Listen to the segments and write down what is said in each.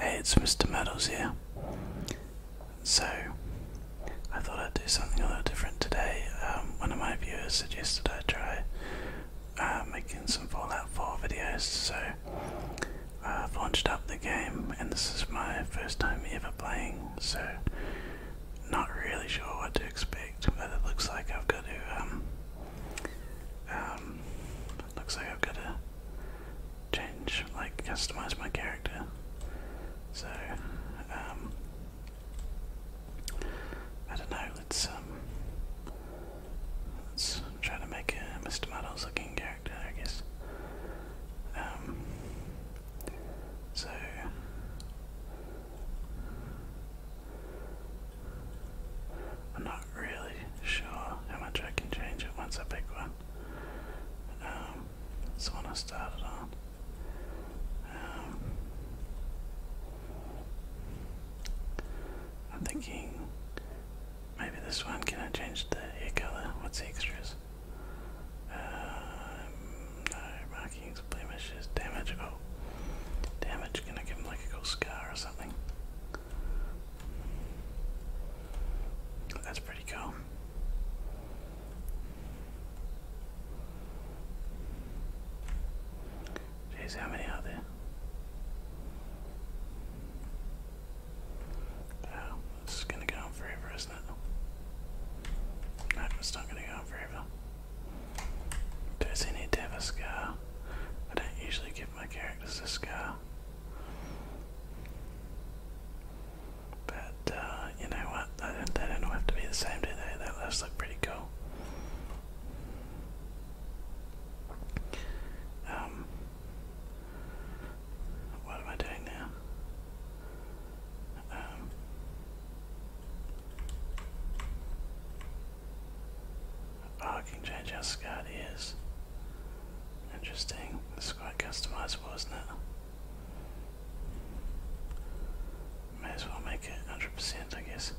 Hey, it's Mr. Meadows here. So, I thought I'd do something a little different today. Um, one of my viewers suggested I try uh, making some Fallout 4 videos, so I've launched up the game, and this is my first time ever playing, so not really sure what to expect, but it looks like I've got to, um, um, looks like I've got to change, like, customize my character. So, um, I don't know, let's, um, let's try to make a Mr. Muddles looking character, I guess. Um, so, I'm not really sure how much I can change it once I pick one. that's um, the I started on. Um, I'm thinking maybe this one. Can I change the hair color? What's the extras? Um, no, markings, blemishes, damage. Oh, damage. Can I give him like a cool scar or something? That's pretty cool. Jeez, how many are there? Oh, this is gonna go on forever, isn't it? No, it's not gonna go on forever. Does he need scar? I don't usually give my characters a scar. But uh, you know what? They don't, have to be the same, do they? That does look pretty cool. Um, what am I doing now? Um, Oh, I can change how Scott is. Interesting. This is quite customizable, isn't it? May as well make it 100%, I guess.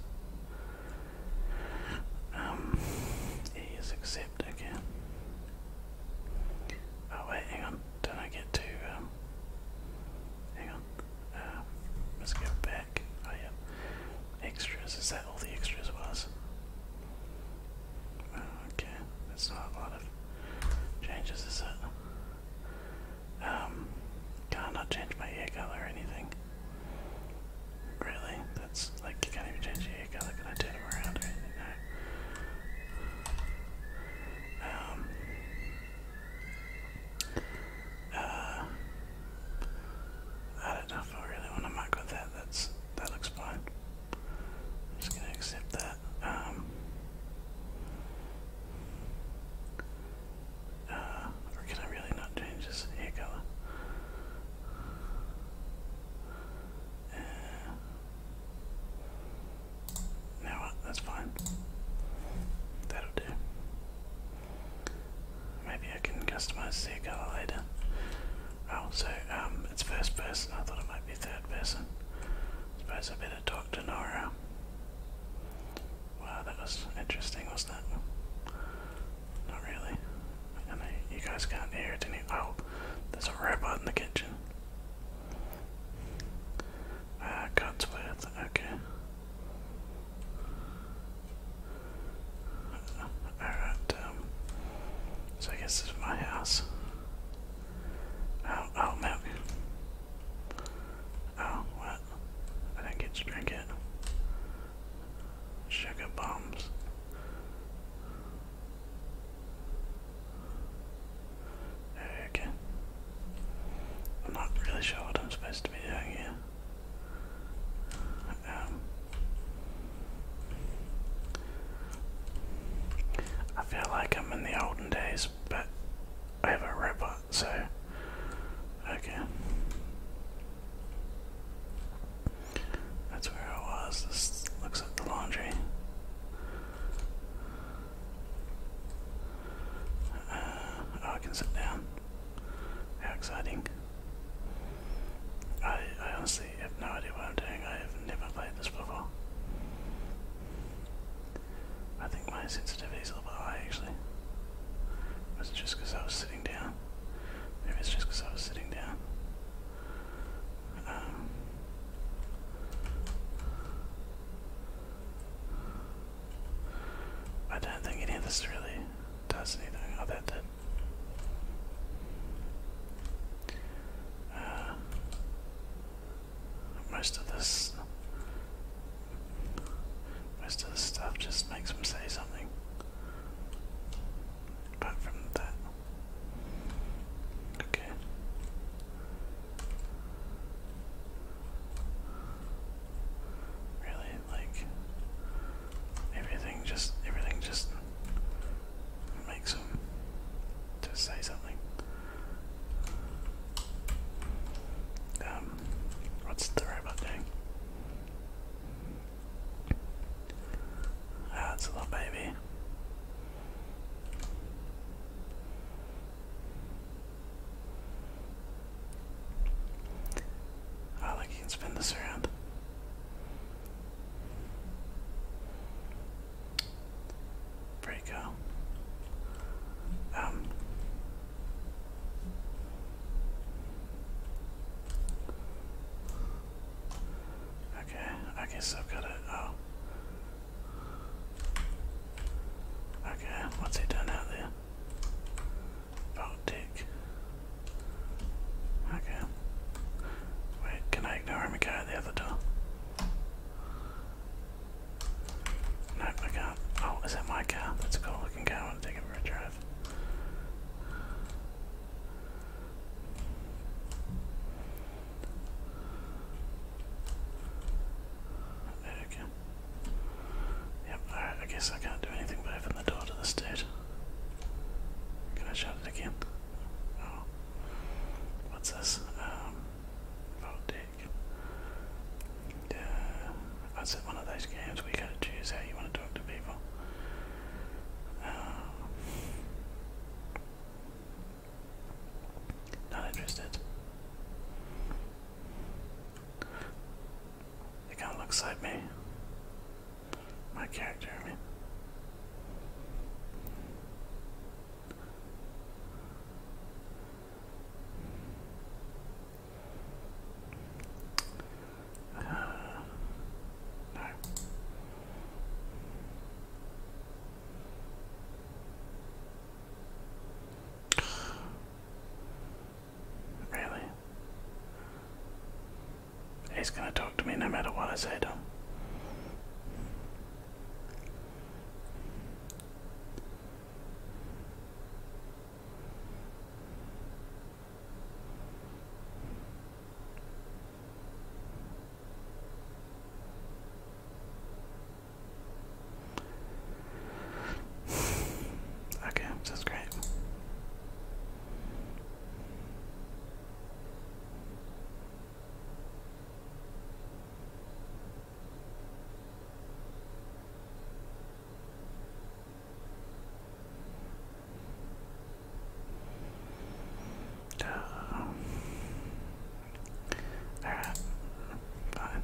Um, E is Oh wait, hang on. Don't I get to, um, hang on. Um, let's go back. Oh yeah. Extras, is that all the extras was? Okay, that's not a lot of changes, is it? Um, can I not change my hair color or anything? Really? That's like you can't even change your hair color. Can turn them around or anything? Um, uh, I don't know if I really want to muck with that. That's that looks fine. I'm just gonna accept that. Um, uh, or can I really not change this hair color? Uh, That's fine. That'll do. Maybe I can customize the hair color later. Oh, so um, it's first person. I thought it might be third person. Suppose I better talk to Nora. Wow, that was interesting, wasn't it? Not really. you guys can't hear it any. Oh, there's a robot in the kitchen. Ah, uh, Cotsworth. Okay. Alright, um, so I guess this is my house. Oh, oh, milk. Oh, what? I didn't get to drink it. Sugar bombs. Okay. I'm not really sure what I'm supposed to be doing here. Um, I feel like I'm in the olden days, but I have a robot, so okay. That's where I was. This looks like the laundry. Uh, oh, I can sit down. How exciting! I, I honestly I have no idea what I'm doing. I have never played this before. I think my sensitivity's a little bit high actually. Was just because I was sitting down? Maybe it's just because I was sitting down. Um, I don't think any of this really does anything. Uh, most of this, most of this stuff just makes them say something. Apart from that, okay. Really, like everything just, everything just makes them to say something. Um, what's the robot doing? Ah, a little baby. Oh, like you can spin this around. Pretty Um, okay, I guess I've got it. Oh. Okay, what's he done out there? Baltic. Okay. Wait, can I ignore him and go the other door? Nope, I can Oh, is that my car? That's a cool looking car. I want to take it for a drive. Okay. Yep, alright, I guess I can't do anything but open the door to this dude. Can I shut it again? Oh. What's this? Um, vote deck. Uh, that's one of those games where you gotta choose how you want to talk to people. Um, not interested. They kind of looks like me my character, I no. Really? He's gonna talk to me no matter what I say to Okay, that's great. Uh, all right, fine.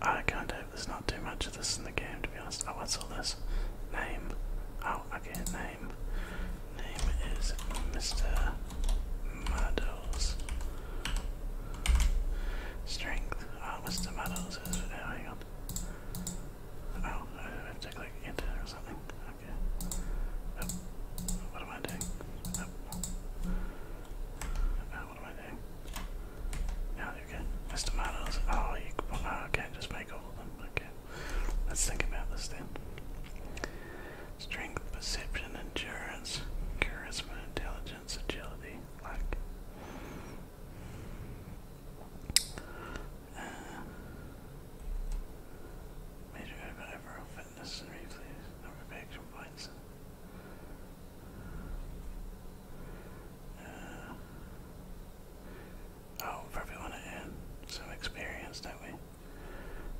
I can't hope there's not too much of this in the game to be honest. Oh, what's all this? Name. Oh, I okay, name. Name is Mr. Meadows. Strength. Oh, ah, Mr. Meadows is, oh, hang Oh, I have enter or something. Okay. Oh, what am I doing? Oh. Ah, what do I do? Yeah, oh, you can. There's Oh, you can't just make all of them. Okay. Let's think about this then. Strength, perception, endurance, charisma, intelligence, agility, luck. Uh, Major overall fitness and reflex, number of action points. Uh, oh, probably want to add some experience, don't we?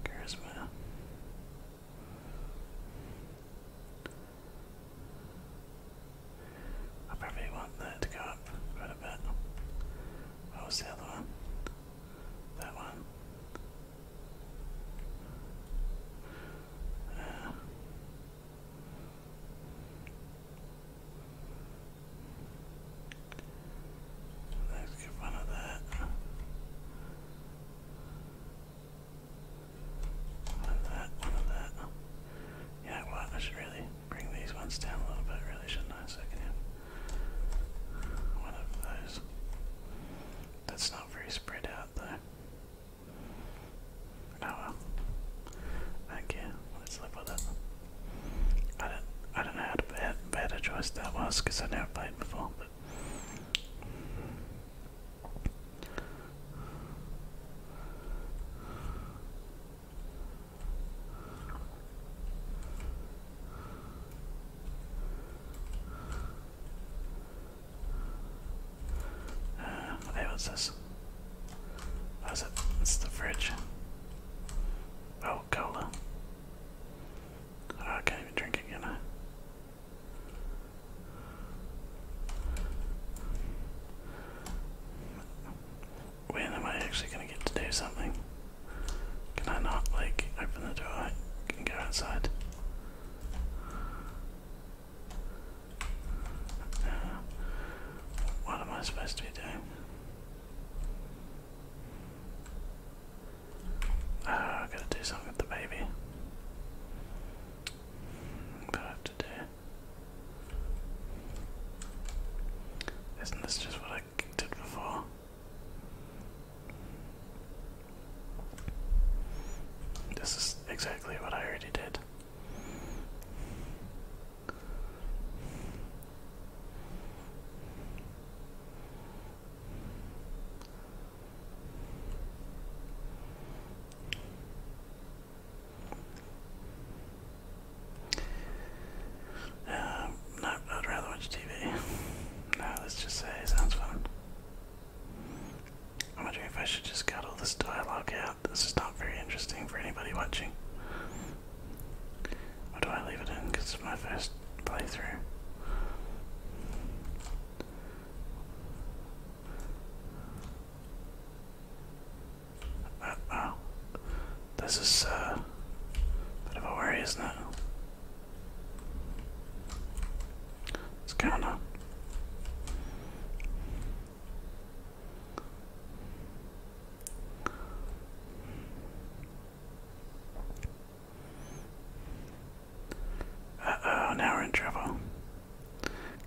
Charisma. I probably want that to go up quite a bit. What was the other one? That one. Uh, Let's get rid of that. One of that, one of that. Yeah, Well, I should really bring these ones down a little bit, really, shouldn't I? So I one of those. That's not very spread out, though. Oh well. I don't care. Let's live with it. I don't, I don't know how bad, bad a choice that was because I never played before, but. Uh, hey, what's this? What is it? It's the fridge. Oh, cola. Oh, I can't even drink it, When am I actually gonna get to do something? Can I not, like, open the door and go outside? what am I supposed to be doing? Ah, I've got to do something with the baby. What I have to do? Isn't this just what I did before? This is exactly what I already did. Um, no, I'd rather watch TV. no, let's just say sounds fun. I am wondering if I should just cut all this dialogue out. This is not very interesting for anybody watching. Or do I leave it in because it's my first playthrough? Uh, oh. This is uh, a bit of a worry, isn't it? What's going on? Uh oh, in trouble.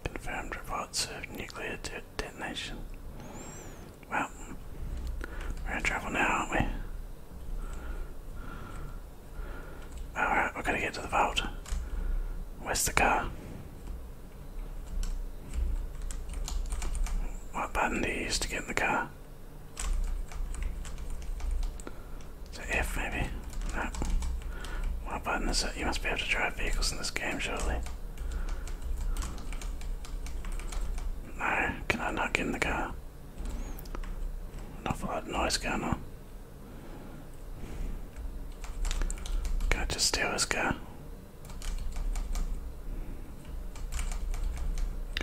Confirmed reports of nuclear detonation. Well, we're in trouble now, aren't we? Alright, we're gonna get to the vault. Where's the car? What button do you use to get in the car? Is F maybe? No. What button is it? You must be able to drive vehicles in this game, surely. No, can I not get in the car? An awful lot of noise going on. Can I just steal his car?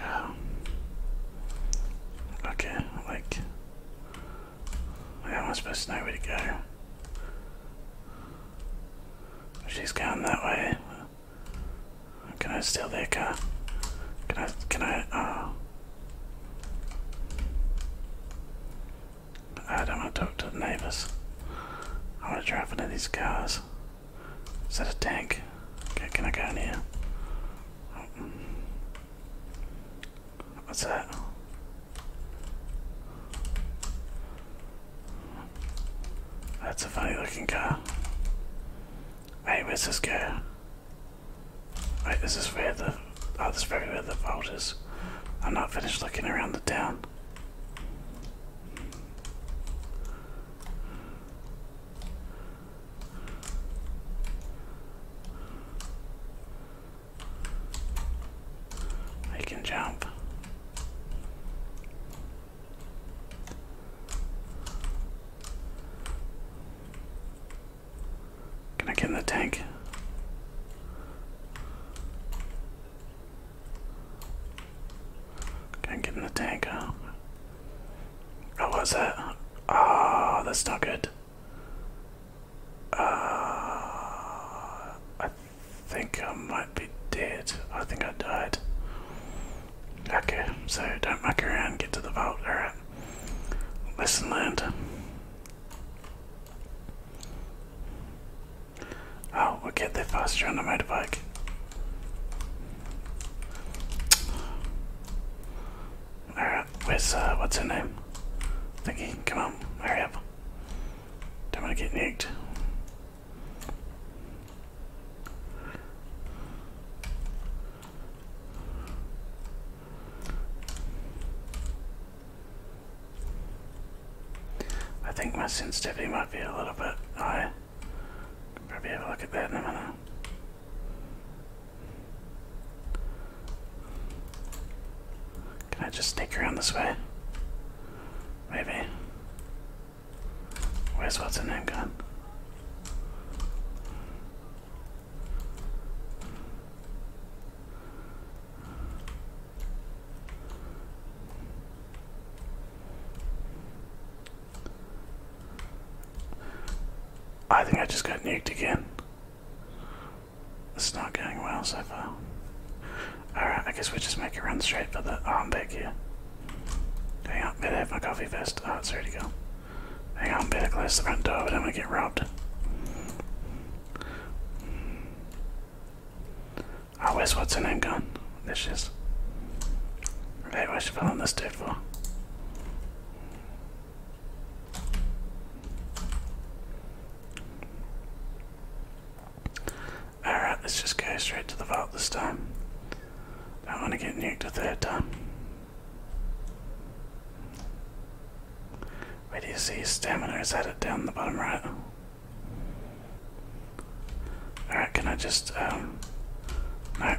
Oh. Okay, like, how am I supposed to know where to go? she's going that way, can I steal their car? Can I, can I, oh. I don't want to talk to the neighbors. I want to drive one of these cars. Is that a tank? Okay, can I go in here? Oh. What's that? That's a funny looking car. Wait, where's this go? Wait, this is where the. Oh, this is where the vault is. I'm not finished looking around the town. I can jump. Can I get in the tank? Can't get in the tank, huh? Oh, was that? Ah, oh, that's not good. Uh, I think I might be dead. I think I died. Okay, so don't muck around, get to the vault. Alright. Listen, learned. Oh, okay, get there faster on a motorbike. Alright, where's, uh, what's her name? Thingy, come on, hurry up. Don't want to get nicked. I think my sensitivity might be a little bit high. Can probably have a look at that in a minute. Can I just sneak around this way? Maybe. Where's what's her name gone? I think I just got nuked again. It's not going well so far. Alright, I guess we just make it run straight for the. arm i back here. Hang on, better have my coffee vest. Oh, ah, it's ready to go. Hang on, better close the front door, but I'm gonna get robbed. Oh, where's what's in name gone? There she is. Okay, where's she following this dude for? Alright, let's just go straight to the vault this time. Don't want to get nuked a third time. Where do you see his stamina? Is at it down the bottom right? Alright, can I just, um, Alright,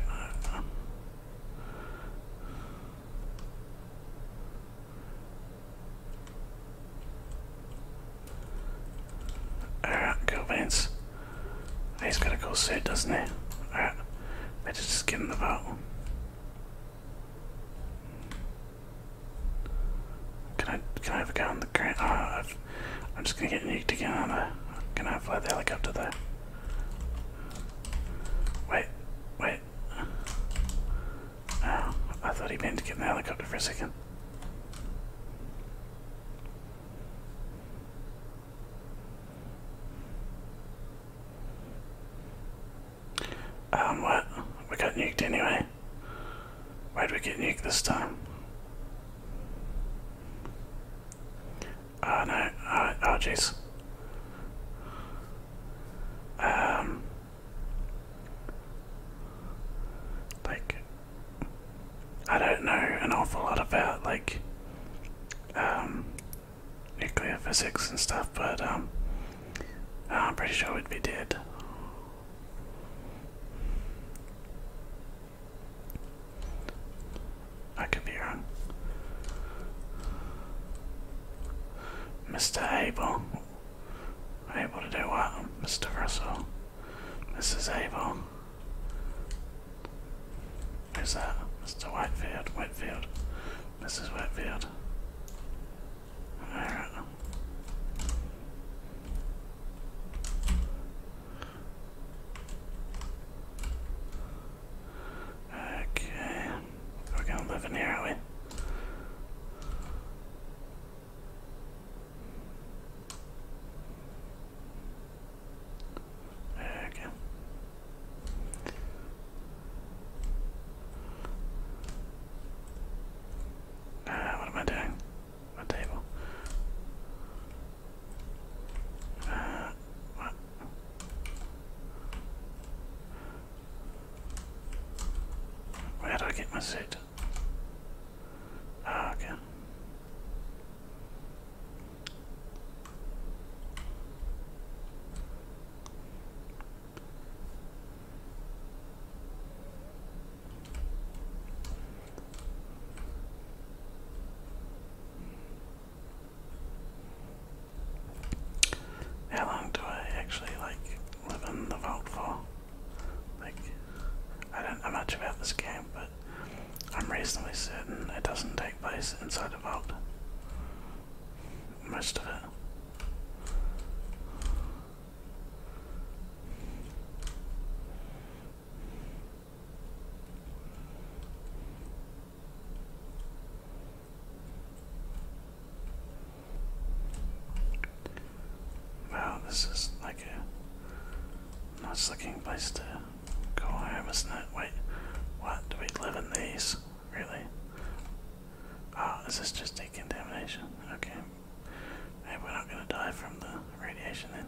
cool beans. He's got a cool suit, doesn't he? Alright, let just give him the vote. Can I can I have a guy on the ground? Uh, i am just gonna get nuked again on the. Can I fly the helicopter there? Wait, wait. Oh, I thought he meant to get the helicopter for a second. Um, what? We got nuked anyway. Why? Why'd we get nuked this time? Oh no, oh jeez. um, like, I don't know an awful lot about, like, um, nuclear physics and stuff, but, um, I'm pretty sure we'd be dead. I could be wrong. Mr. Abel. Able to do what? Mr. Russell. Mrs. Abel. Who's that? Mr. Whitefield. Whitefield. Mrs. Whitefield. Okay, we're gonna live in here, are we? Okay. Ah, what am I doing? A table. Uh, what? Where do I get my seat? Ah, okay. How long do I actually like live in the vault for? Like, I don't know much about this game, but I'm reasonably certain it doesn't take place inside the vault. Most of it. Wow, this is like a nice looking place to go home, isn't it? Wait, what? Do we live in these? Really? Ah, oh, is this just decontamination? Okay, Maybe we're not gonna die from the radiation then.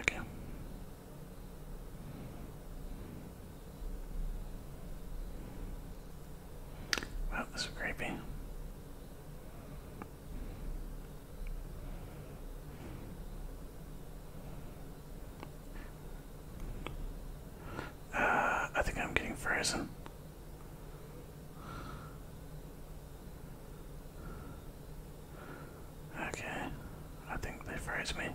Okay. Well, this is creepy. Uh, I think I'm getting frozen. Okay, I think they froze me.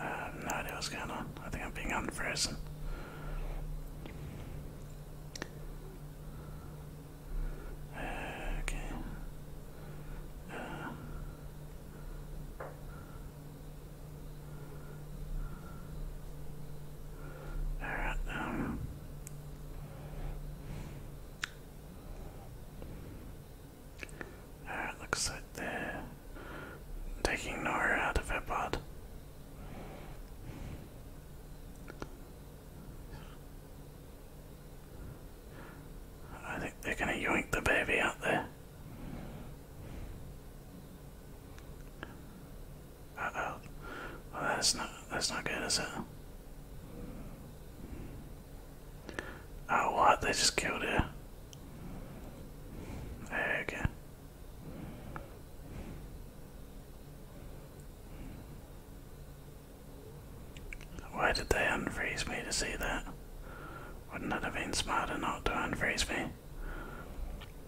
I uh, no idea what's going on. I think I'm being unfrozen. Okay. Uh, Alright, um, it looks like they're taking Nora out of her pod. I think they're gonna yank the baby out there. oh. Well that's not that's not good, is it? Oh, what? They just killed her. Okay. Why did they unfreeze me to see that? Wouldn't that have been smarter not to unfreeze me?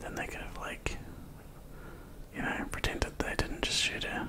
Then they could have, like, you know, pretended they didn't just shoot her.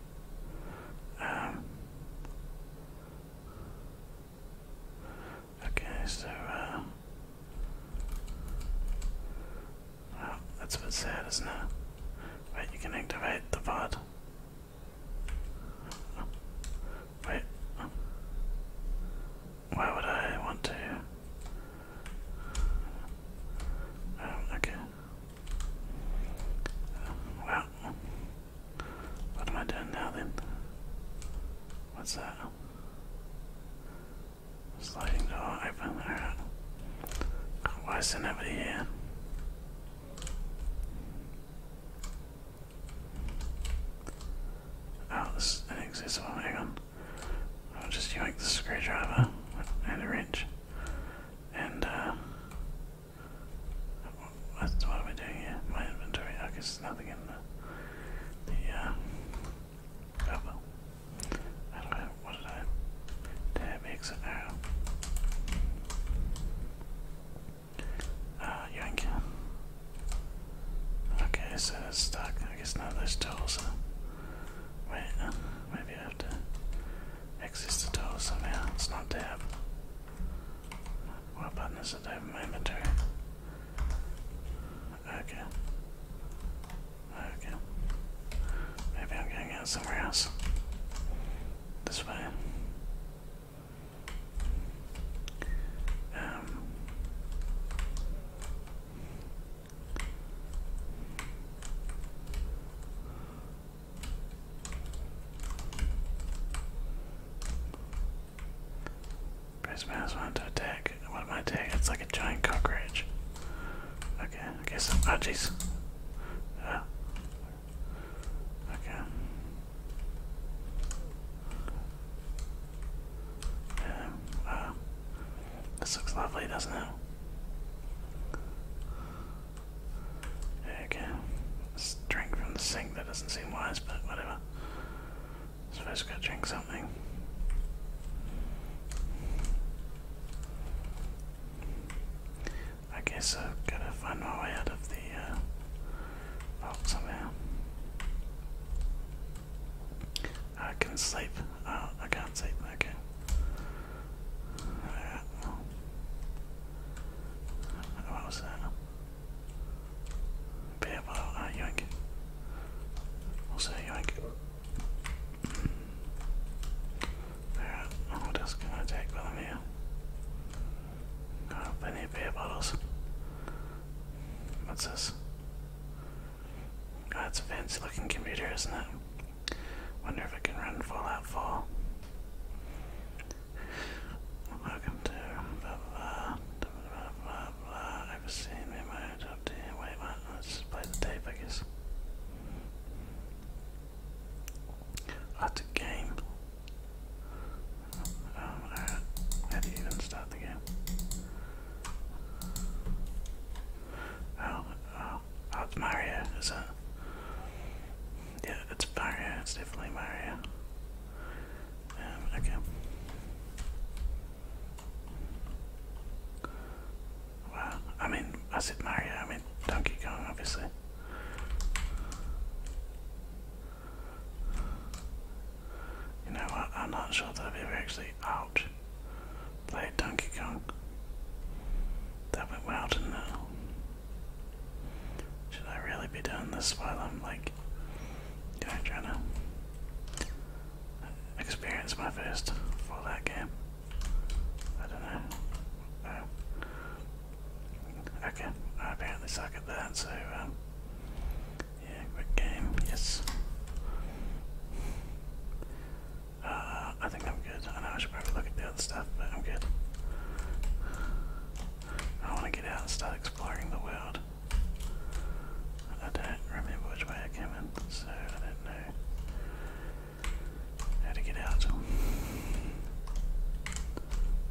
Um, okay, so, uh, that's a bit sad, isn't it? Wait, you can activate the VOD. Wait. Why would I want to? Um, okay. Uh, what am I doing now then? What's that? Sliding door oh, I found alright. Why is there nobody here? Oh, this is inaccessible, hang on. I'll just yank the screwdriver and the wrench. And uh, what, what am doing here? My inventory. I guess there's nothing in the. the uh, oh well. I don't know. What did I. Tab exit arrow. Uh, yank. Okay, so stuck. I guess none of those Wait, uh, maybe I have to access the tools It's not tab. What button is it to have my inventory? Okay. Okay. Maybe I'm going out somewhere else. This way. Um. Press mouse to attack. What am I attacking? It's like a giant cockroach. Okay, I guess. I'm, oh, ah. okay. Yeah, wow. Uh, this looks lovely, doesn't it? Okay, drink from the sink. That doesn't seem wise, but whatever. Supposed to go drink something. I guess I've got to find my way out of the box uh, somehow. I can not sleep. Oh, I can't sleep. Okay. Alright, what was that? Beer bottle, ah, uh, yoink. Also yoink. Alright, i just gonna take with them here. beer bottles. What's this? That's oh, a fancy looking computer, isn't it? Wonder if it can run Fallout Four. Welcome to blah blah blah blah blah I've seen me my job team. Wait, Let's just play the tape, I guess. That's a game. Um, how do you even start the game? Oh, oh, oh it's Mario, is it? Yeah, it's Mario. It's definitely Mario. Um, okay. Wow. I mean, I said Mario. I mean Donkey Kong, obviously. You know what? I'm not sure that I've ever actually out played Donkey Kong. That went well, didn't it? Should I really be doing this while I'm like, trying to experience my first for that game? I don't know. Oh. Okay, I apparently suck at that, so, um, yeah, quick game, yes. Uh, I think I'm good. I know I should probably look at the other stuff, but I'm good. I want to get out and start exploring the world. I don't remember which way I came in, so I don't know how to get out.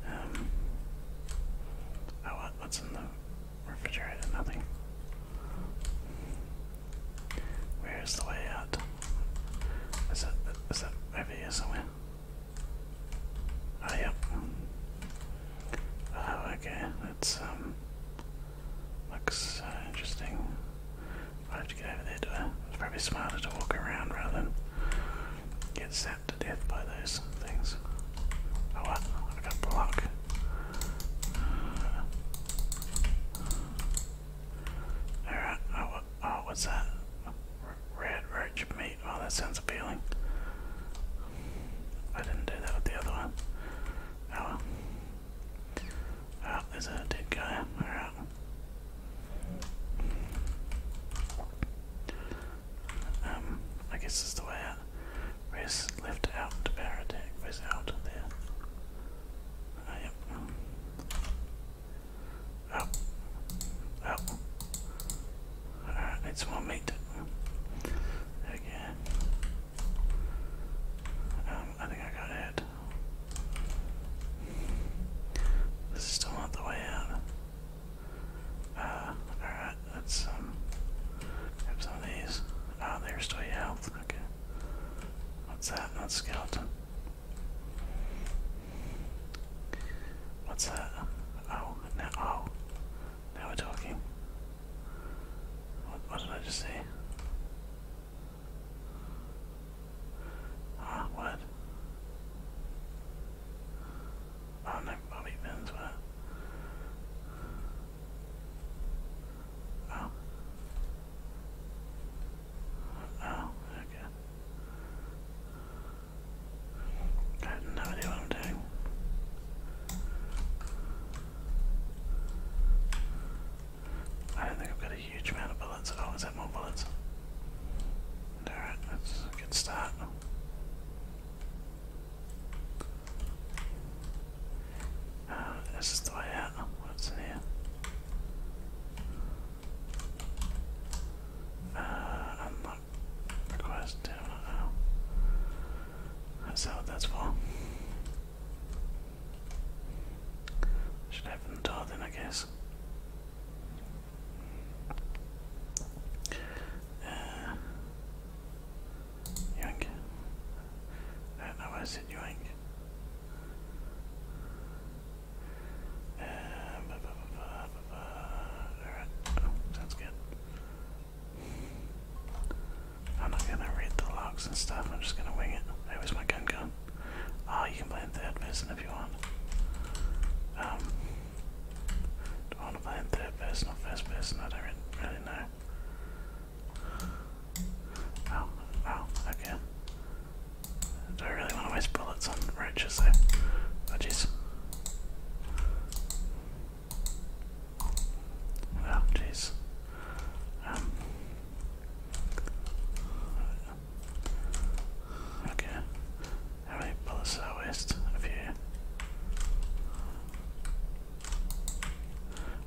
Um, oh, what, what's in the refrigerator? Nothing. Where is the way out? Is that, is that over here somewhere? Oh, yep. Oh, okay. That's, um, looks uh, interesting. I have to get over there, do I? It's probably smarter to walk around rather than get zapped to death by those things. Oh, what? I got block. Alright, oh, oh, what's that? Red roach meat. Oh, that sounds appealing. I didn't do that with the other one. Oh well. Oh, a dead guy. Alright. Um, I guess it's the way out. Press left out to power attack. Press out there. Oh, yep. Oh. Oh. Alright, I need some more meat. Um, I think I got it. This is still not the way out. Uh, alright, let's grab um, some of these. Ah, oh, they your health. Okay. What's that? Not skeleton. What's that? Oh, now, oh, now we're talking. What, did I just say? Ah, what? Oh no, Bobby Pins, Oh. Oh, okay. I have no idea what I'm doing. I don't think I've got a huge amount of bullets. Oh, is that more bullets? Alright, that's a good start. Uh, this is the way What's in here? unlock request, I don't know. That's how that's for. Should open the door then, I guess. Uh, I don't know why I said yoink sounds good. I'm not gonna read the logs and stuff, I'm just gonna wing it. where's my gun gone? Ah, you can play in third person if you want. Um, do I want to play in third person or first person? I don't really know. Oh, oh, okay. I don't really want to waste bullets on roaches though. Oh jeez. Oh jeez. Um, okay. How many bullets did I waste? A few.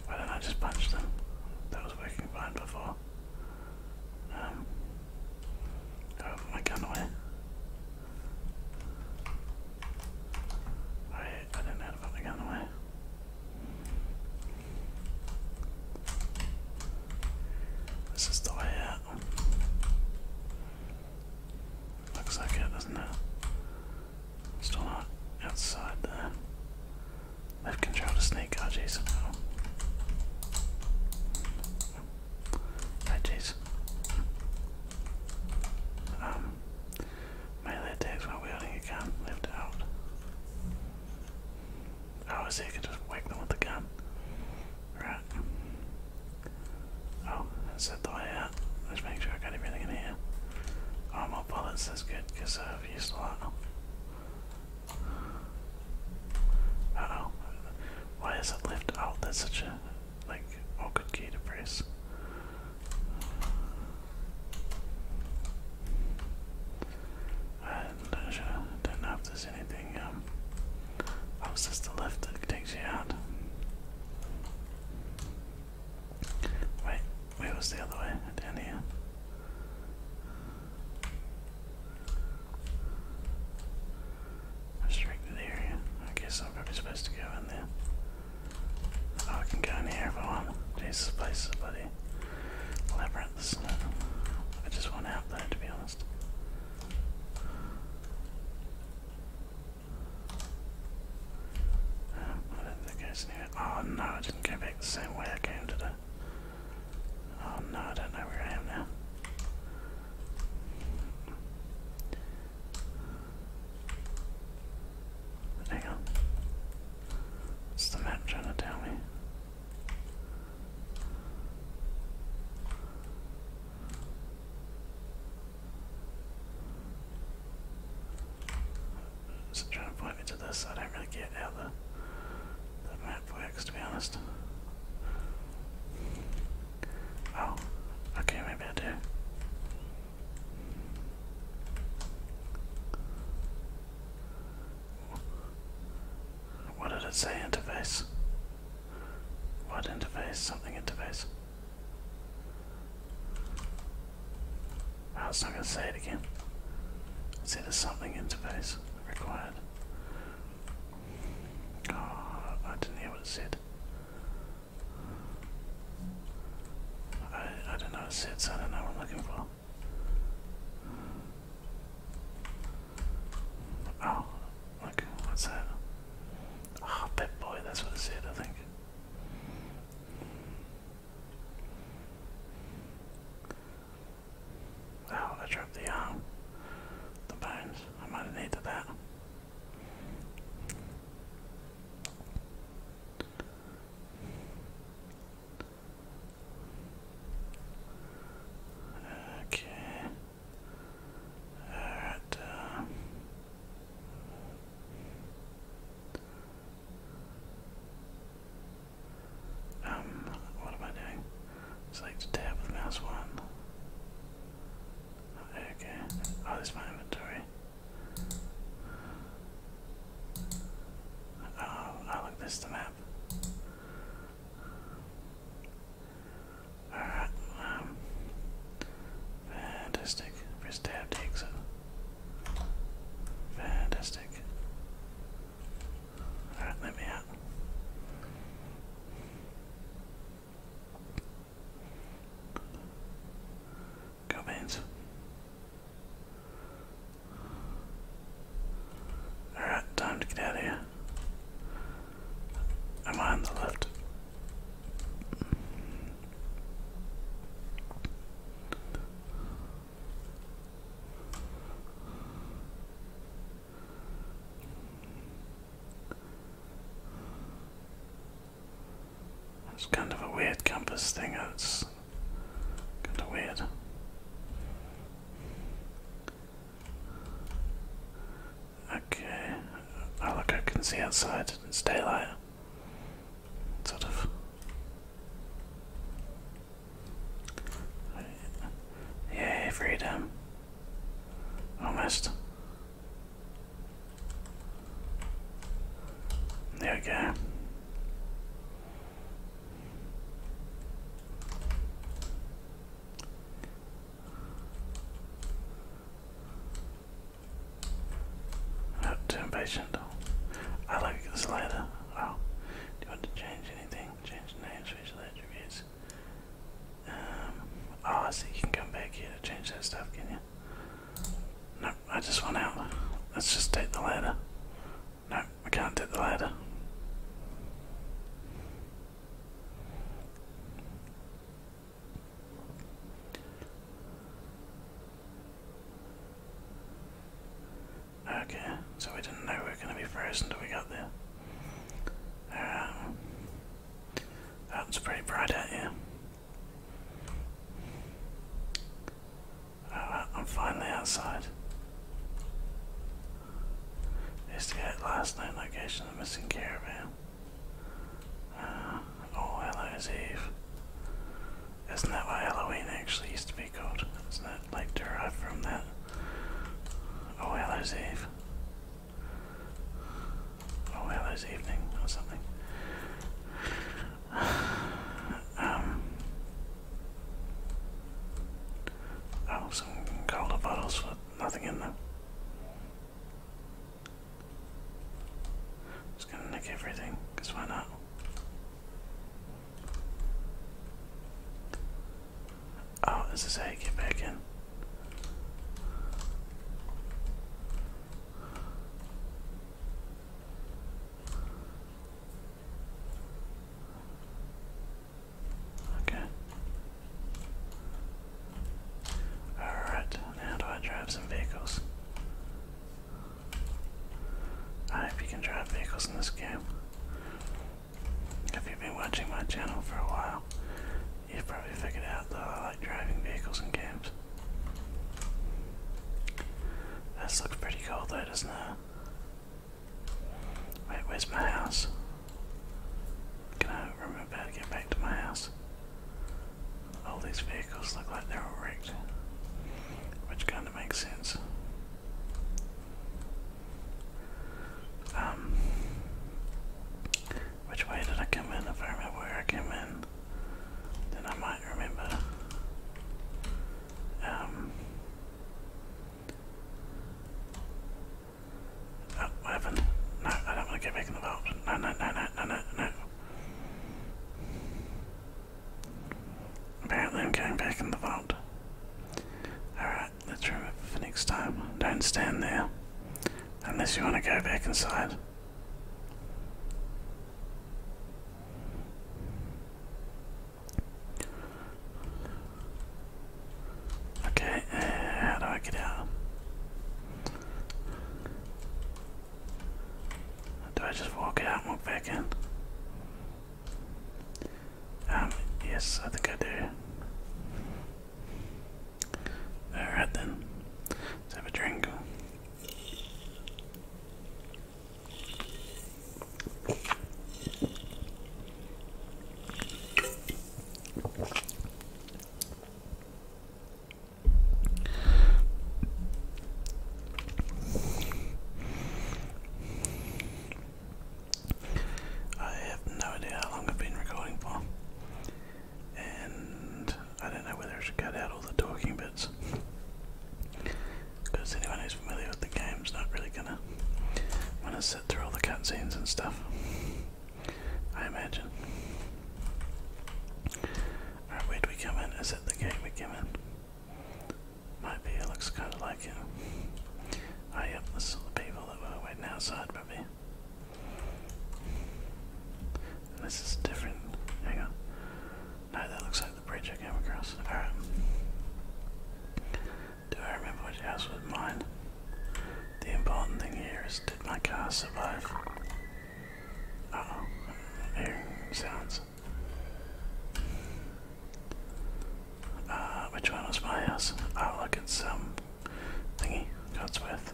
Why didn't I just punch them? That was working fine before oh, um, why can't I? don't know how to gun away. This is the way Looks like it, doesn't it? Still not outside there. Left control to sneak, oh jeez. Oh. Veggies. Um, melee attacks when wielding a gun, left out. Oh, I see, I just whack them with the gun. Right. Oh, that's it out. Let's make sure I got everything in here. Oh, bullets, that's good, because I've used uh oh. Why is it lift out? That's such a like oh good key to press. Uh, I don't know if there's anything um oh it's just the lift that takes you out. Wait, wait, was the other way? Down here. Restricted area. I guess I'm probably supposed to go in there. Oh, I can go in here if I want. Jesus, this place is a bloody labyrinth. I just want out there, to be honest. Um, I don't think I just need it. Oh no, I didn't go back the same way I came today. Oh no, I don't know where I am now. Hang on. What's the map trying to tell me? Is trying to point me to this? I don't really get how the the map netflix to be honest oh okay maybe i do what did it say interface what interface something interface Oh, it's not going to say it again. It said there's something interface required. Oh, I didn't hear what it said. I, I don't know what it said, so I don't know what I'm looking for. Oh, look, what's that? Oh, Pip Boy, that's what it said, I think. Ow, I dropped the arm. Um, the bones. I might have needed that. Okay. Alright, uh, um, what am I doing? Select the tab with mouse one. Okay. Oh, there's my inventory. Oh, oh look, this is map. Alright, um, fantastic. Press tab to exit. Fantastic. Alright, let me out. Go beans. Alright, time to get out of here. Am I on the left? It's kind of a weird compass thing, uh, it's kind of weird. Okay, oh look, I can see outside, it's daylight. Sort of. Yay, freedom. I missed. There we go. Oh, too impatient. I like this later. Oh, do you want to change anything? Change the names, the attributes. Um, oh, I see you can come back here to change that stuff, can you? Nope, I just went out. Let's just take the ladder. Nope, we can't take the ladder. Okay, so we didn't know we were going to be frozen till we got there. Uh, that's pretty bright out here. Uh, I'm finally outside. get last known location of the missing caravan. Uh, oh, Hallows Eve. Isn't that why Halloween actually used to be called? Isn't that like derived from that? Oh, Hallows Eve. Oh, or Hallows Evening or something. um, oh, some cola bottles for nothing in them. Just gonna nick everything, because why not? Oh, this is how you get back in. Okay. Alright, now do I drive some vehicles? I hope you can drive vehicles in this game. If you've been watching my channel for a while, you've probably figured out that I like driving vehicles in games. This looks pretty cool though, doesn't it? Wait, where's my house? Can I remember how to get back to my house? All these vehicles look like they're all wrecked, which kind of makes sense. Um, which way did I come in? If I remember where I came in, then I might remember. Um, oh, what No, I don't want to get back in the vault. No, no, no, no, no, no, no. Apparently I'm getting back in the vault. Alright let's remember for next time. Don't stand there. Unless you want to go back inside. Okay, uh, how do I get out? Do I just walk out and walk back in? Um, yes, I think I do. Alright then, let's have a drink. I have no idea how long I've been recording for, and I don't know whether I should cut out all the talking bits. Because anyone who's familiar with the game's not really gonna want to sit through all the cutscenes and stuff. I imagine. where do we come in? Is it the gate we come in? Might be, it looks kind of like it. Oh, yep, this is all the people that were waiting outside, probably. This is different. Hang on. No, that looks like the bridge I came across. Alright. Do I remember what your house was mine? The important thing here is did my car survive? oh. I'm sounds. Uh, which one was my house? i Oh, look, at some thingy goes with.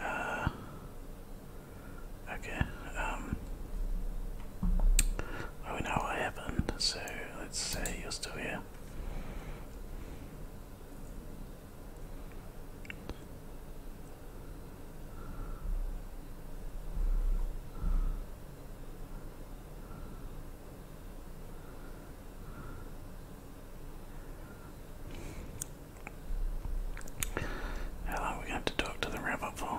Uh, okay, um, we know what happened, so let's say you're still here. Hello, we have to talk to the rabbit fool.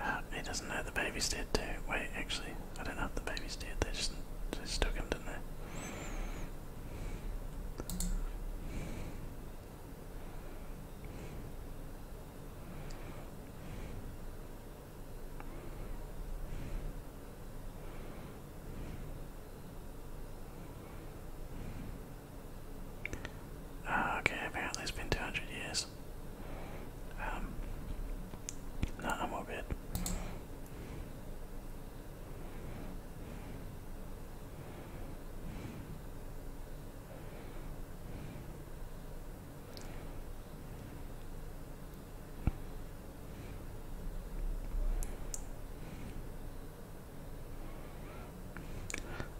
Uh, he doesn't know the baby's dead too. Wait, actually, I don't know if the baby's dead. They just they just took him, didn't they? Ah, okay, apparently it's been 200 years. Um, I'm all good.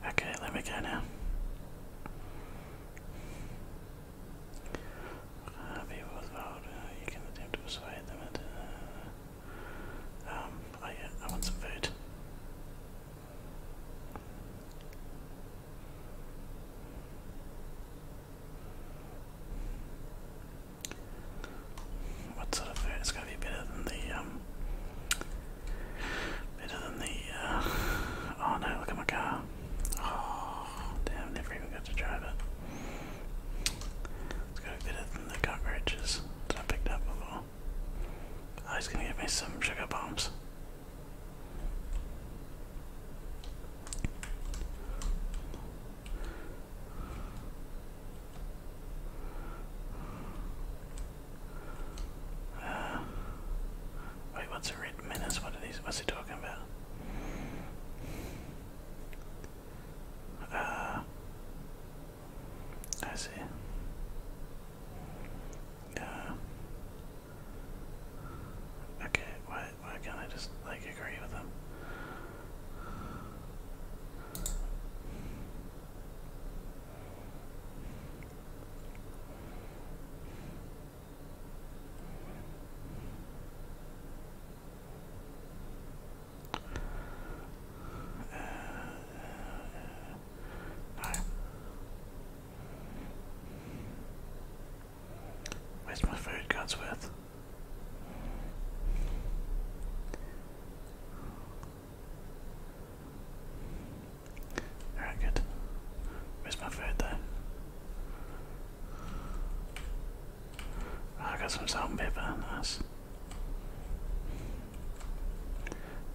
Okay, let me go now. Uh, with vote, you can attempt to persuade them. And, uh, um, oh I want some food. What sort of food? It's going to be better than the um, Better than the. Uh, oh no! Look at my car. Oh damn! Never even got to drive it. It's got better than the cockroaches that I picked up before. Oh, he's gonna give me some sugar bombs. Um, wait, what's a red menace? What are these? What's he talking about? Uh, I see. Uh, okay, why, why can't I just, like, agree with them? Where's my food, Gunsworth? Alright, good. Where's my food though? Ah, I got some salt and pepper, nice.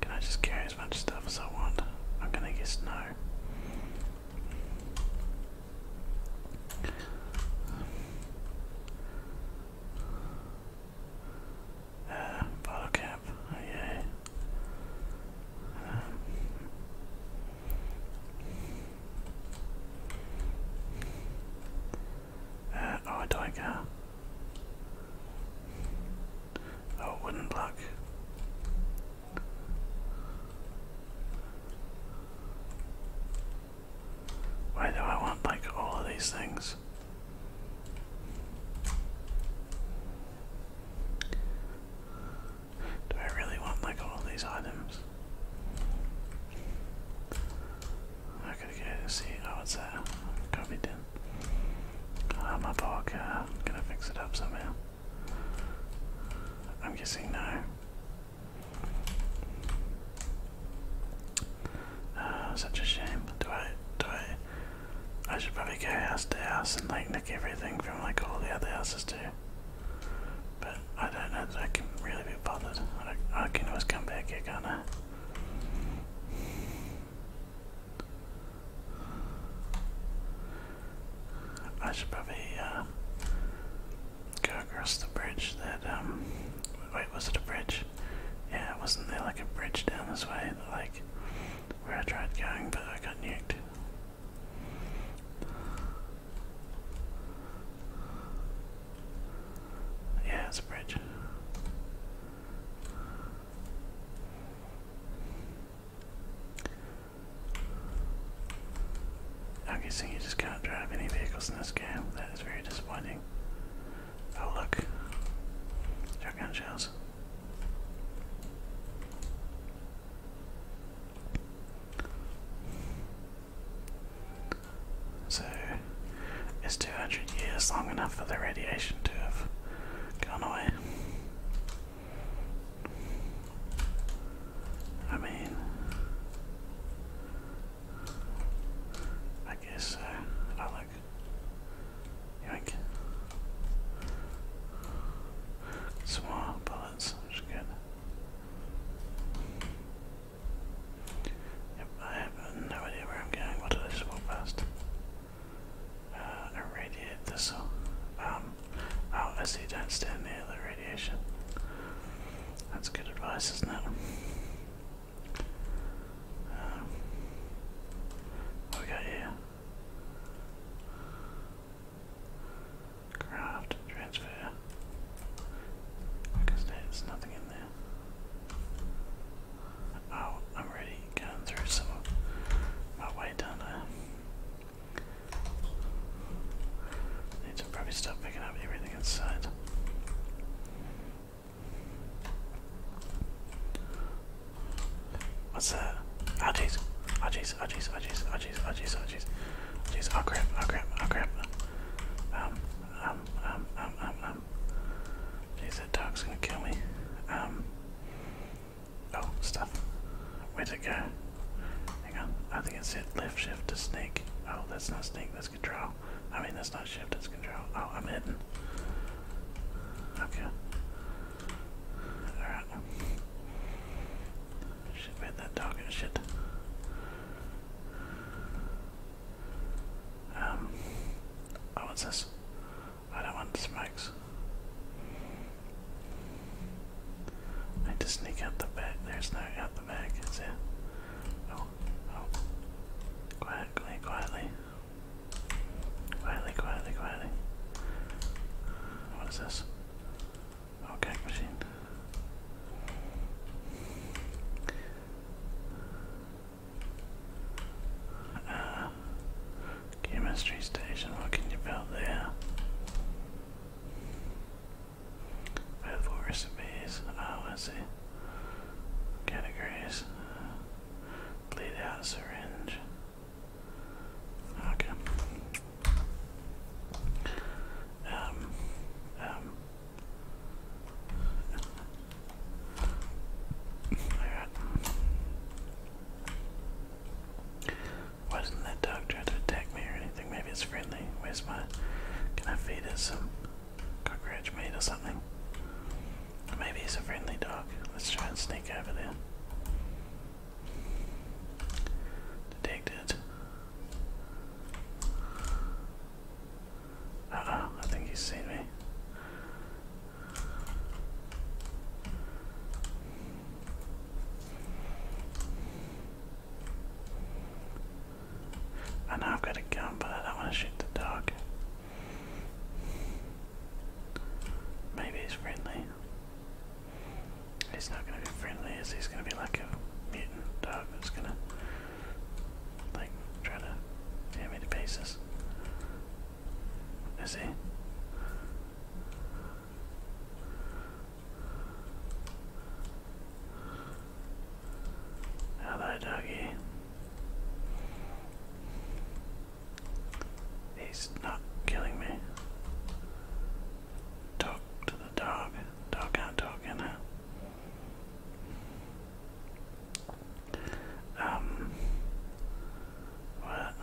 Can I just carry as much stuff as I want? I'm gonna guess no bottle cap, oh yeah. Um, uh, oh, a car. Oh, wooden block. Why do I want like all of these things? Do I really want like all these items? I could see. Oh, it's a coffee tin. Ah, my poor am gonna fix it up somehow. I'm guessing no. Ah, such a shame. Do I? Do I? I should probably go house to house and like nick everything from like all the other houses too. But I don't know I can really be bothered. I, can always come back here, can't I? should probably uh, go across the bridge that, um, wait, was it a bridge? Yeah, wasn't there like a bridge down this way like where I tried going, but I got nuked. Yeah, it's a bridge. I'm guessing you just can't drive any vehicles in this game. That is very disappointing. Oh look, shotgun shells. So it's 200 years long enough for the radiation to have gone away. I mean, I guess so. look. Yank. Some bullets, which is good. I have no idea where I'm going. What do I just walk past? Uh, a radiate thistle. Um, oh, don't stand near the radiation. That's good advice, isn't it? Um, we got here? Craft, transfer. Because there's nothing in there. Oh, I'm already going through some my weight, aren't Need to probably stop picking up everything inside. What's that? Oh jeez. Oh jeez. Oh jeez. Oh jeez. Oh jeez. Oh jeez. Oh jeez. Oh jeez. Oh crap. Oh crap. Oh crap. Um. Um. Um. Um. Um. um. Jeez, that dog's gonna kill me. Um. Oh, stuff. Where'd it go? Hang on. I think it's it. Left shift to snake. Oh, that's not snake. That's control. I mean, that's not shift. That's control. Oh, I'm hidden. Okay. Alright. Shit, man, that dog shit. Um. Oh, what's this? I don't want smokes. need to sneak out the back. There's no out the back, is there? Oh, oh. Quietly, quietly. Quietly, quietly, quietly. What is this? Oh, gag machine. Uh, chemistry station, what can you build there? Available recipes, oh, let's Categories, bleed out syringe. Okay. Um, um. Alright. Why doesn't that dog try to attack me or anything? Maybe it's friendly. Where's my. Can I feed it some cockroach meat or something? Maybe he's a friendly dog. Let's try and sneak over there. Detected. oh, I think he's seen me. I know I've got a gun, but I want to shoot the dog. Maybe he's friendly. He's not gonna be friendly, is he's gonna be like a mutant dog that's gonna like try to tear me to pieces. Is he? Hello, doggy. He's not killing me. Talk to the dog. Dog can't talk in now. Um what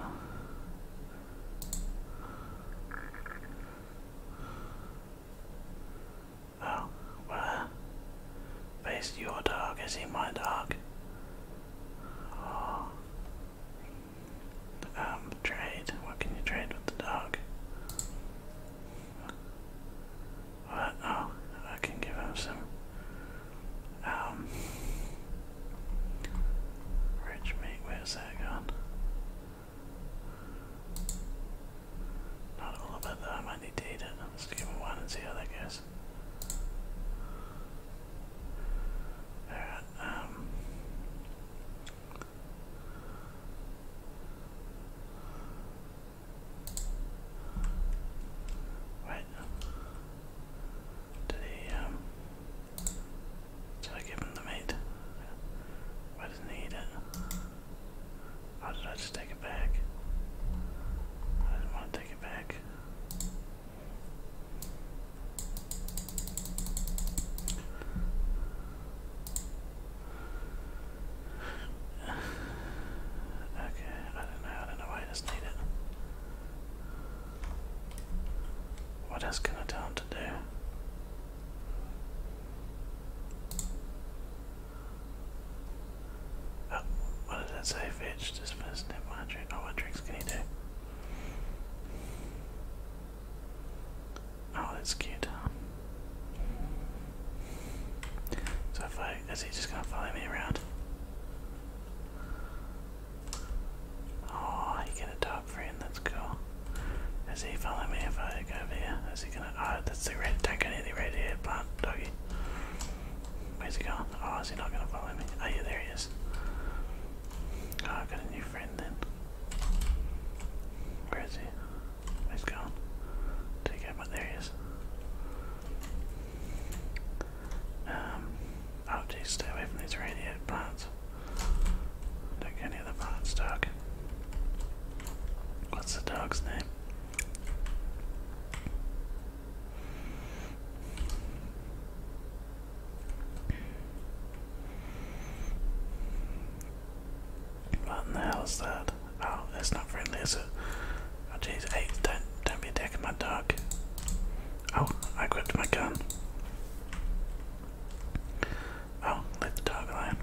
Oh, well, face your dog, is he my um, trade. What can you trade with the dog? What? Oh, I can give him some. Um. Rich where's that gone? Not all of it though, I to Let's give him one and see how that goes guys. Alright, Wait. Did he um did I give him the meat? Why doesn't he eat it? Or did I just take it back? I didn't want to take it back. Okay, I don't know, I don't know why I just need it. What else can I tell him to do? Oh, what did that say? Fetch, dismiss, net wondering. Oh, what drinks can he do? Oh, that's cute. So if I is he just gonna follow me around? Oh, he got a dog friend, that's cool. Is he following me if I go over here? Is he gonna oh that's the red don't go near the red head plant doggy. Where's he gone? Oh, is he not gonna follow me? Oh yeah, there he is. Oh, got a new friend then. Where is he? Where's he going? Take him out, there he is. Um, oh geez, stay away from these radiated plants. Don't get any of the plants, dog. What's the dog's name? What in the hell is that? Oh, it's not friendly, is it? Oh jeez, hey, don't don't be attacking my dog. Oh, I gripped my gun. Oh, leave the dog alone.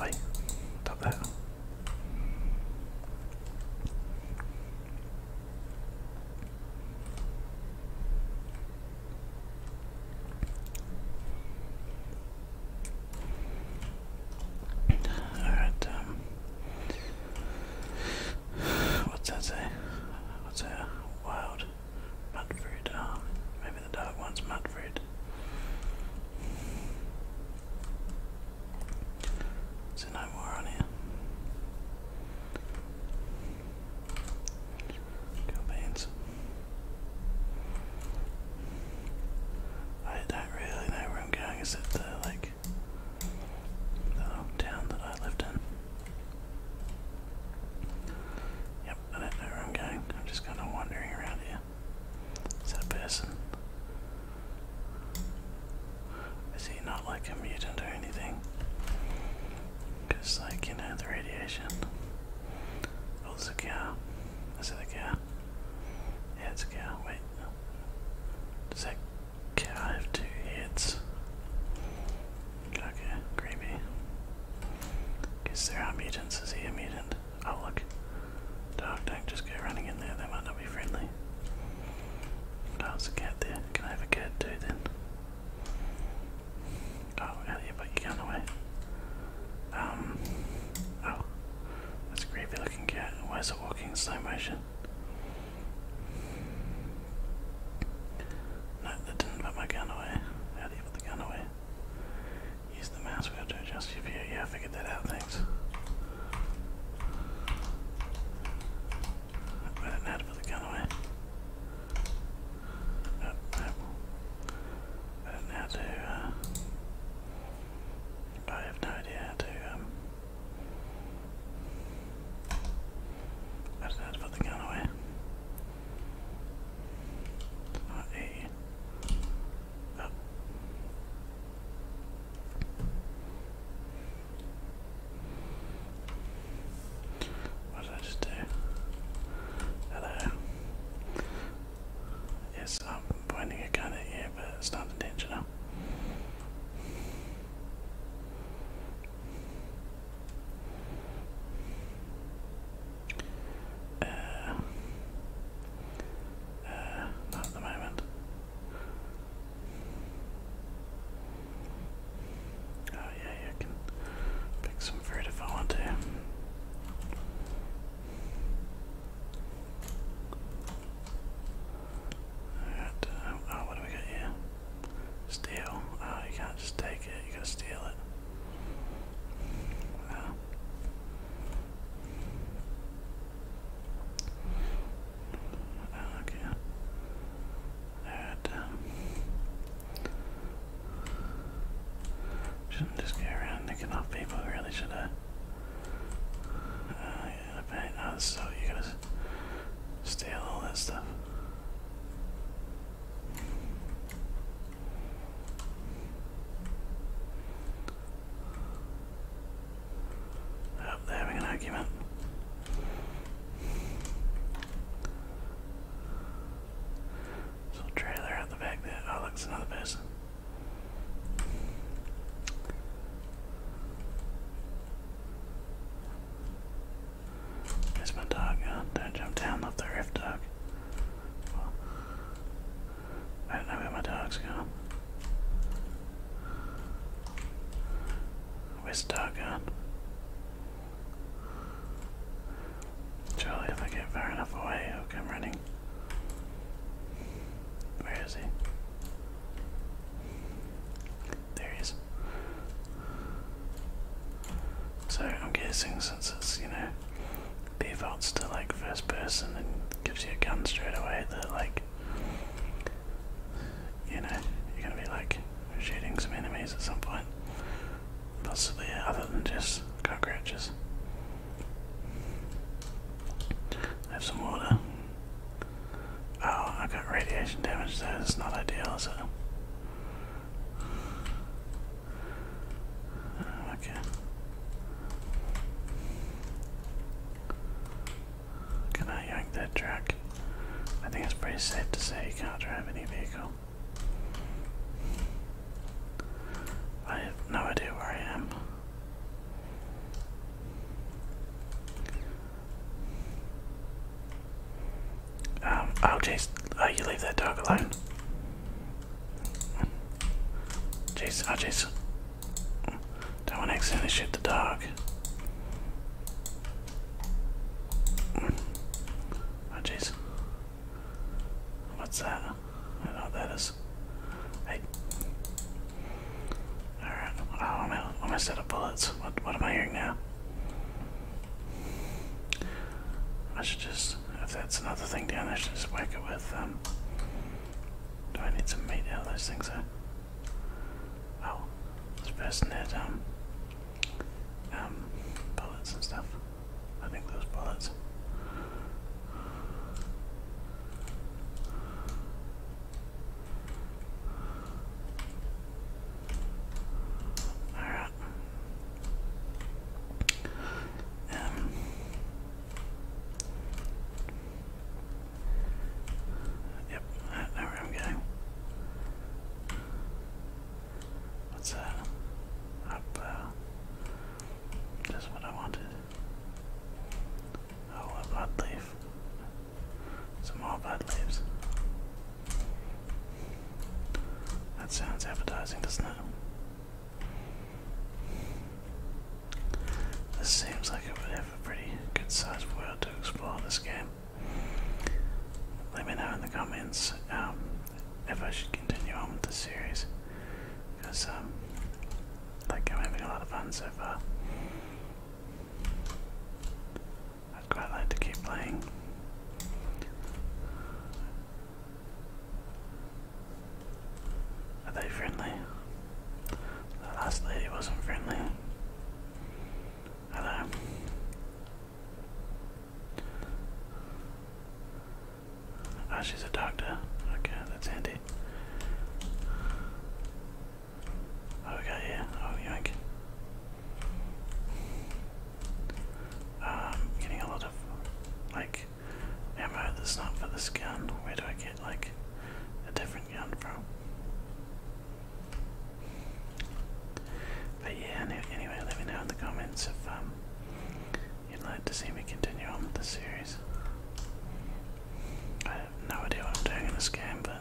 Wait, stop that. Alright, um, what's that say? What's a wild mudfruit. Uh, maybe the dark one's mudfruit. Is there no more on here? Cool I don't really know where I'm going except the like town that I lived in. Yep, I don't know where I'm going. I'm just kind of wandering around here. Is that a person? Is he not like a mutant or anything? Because, like, you know, the radiation. Oh, there's a cow. Is it a cow? Yeah, it's a cow. Wait. Does that cow have two heads? Okay, creepy. Guess there are mutants. Is he a mutant? Oh, look. Dog, do just go running in there. They might not be friendly. Oh, there's a cat there. Can I have a cat too then? Oh, out of here, but you're away. Um, oh, that's creepy looking cat. Why is it walking slow motion? No, that didn't put my gun away. How do you put the gun away? Use the mouse wheel to adjust your view. Yeah, I figured checking that out. Thanks. I didn't put the gun away. I don't know how to. Uh, I have no idea how to. Um, not put the gun away. It's what did I just do? Hello. Yes, I'm pointing a gun at you, but it's not intentional. Uh, uh, not at the moment. Oh, yeah, yeah, can pick some fruit if I want to. Alright, uh, oh, what do we got here? Steal. Oh, ah, you can't just take it, you gotta steal it. Okay. Alright. Um, shouldn't just go around nicking off people, really, should I? Uh, I bet. Oh, so you got steal all that stuff. I oh, they're having an argument. There's trailer out the back there. Oh, look, another person. There's my dog. Oh, don't jump down, love the rift dog. I don't know where my dog's gone. Where's Dargon? Charlie, if I get far enough away, he'll come running. Where is he? There he is. So I'm guessing since it's, you know, defaults to like first person and gives you a gun straight away that like you know, you're gonna be like shooting some enemies at some point. Possibly other than just cockroaches. Have some water. Oh, I got radiation damage there, it's not ideal, is okay. Can I yank that truck? I think it's pretty safe to say you can't drive any vehicle. I have no idea where I am. Um, oh jeez, oh, you leave that dog alone. Jeez, oh don't want to accidentally shoot the dog. Oh jeez. What's that? I know that is. Hey. Alright. Oh, I'm out, I'm out of bullets. What, what am I hearing now? I should just, if that's another thing down there, I should just wake it with, them. Um, do I need some meat How those things, are. Oh, this person had um, um, bullets and stuff. I think those bullets. Alright. Um Yep, where I'm going. What's that? Up, uh, just what I wanted. Oh, a blood leaf. Some more blood leaves. That sounds advertising, doesn't it? This seems like it would have a pretty good sized world to explore this game. Let me know in the comments um, if I should continue on with the series. Because, like, um, I'm having a lot of fun so far. I'd quite like to keep playing. Are they friendly? The last lady wasn't friendly. Hello. oh, she's a doctor. Okay, that's handy. Oh, we Oh, yank. I'm um, getting a lot of, like, ammo that's not for this gun. Where do I get, like, a different but yeah, anyway, let me know in the comments if um, you'd like to see me continue on with the series. I have no idea what I'm doing in this game, but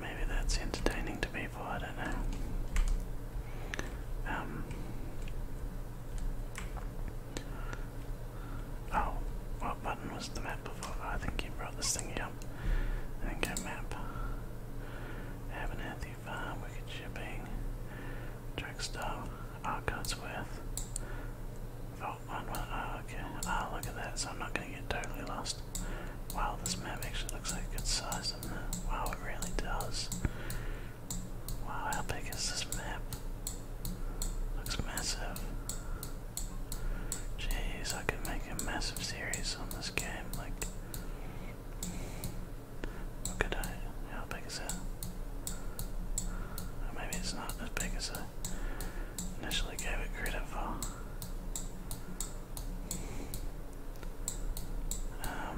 maybe that's entertaining to people, I don't know. Um, Oh, what button was the map before? Oh, I think you brought this thingy up. I think go map. Abernathy Farm, Wicked Shipping, Drugstore, Arcotsworth, Vault 1 1. Oh, okay. Ah, oh, look at that, so I'm not going to get totally lost. Wow, this map actually looks like a good size, doesn't it? Wow, it really does. Wow, how big is this map? Looks massive. Jeez, I could make a massive series on this game. Like, what could I? How big is it? maybe it's not as big as I initially gave it credit for. Um,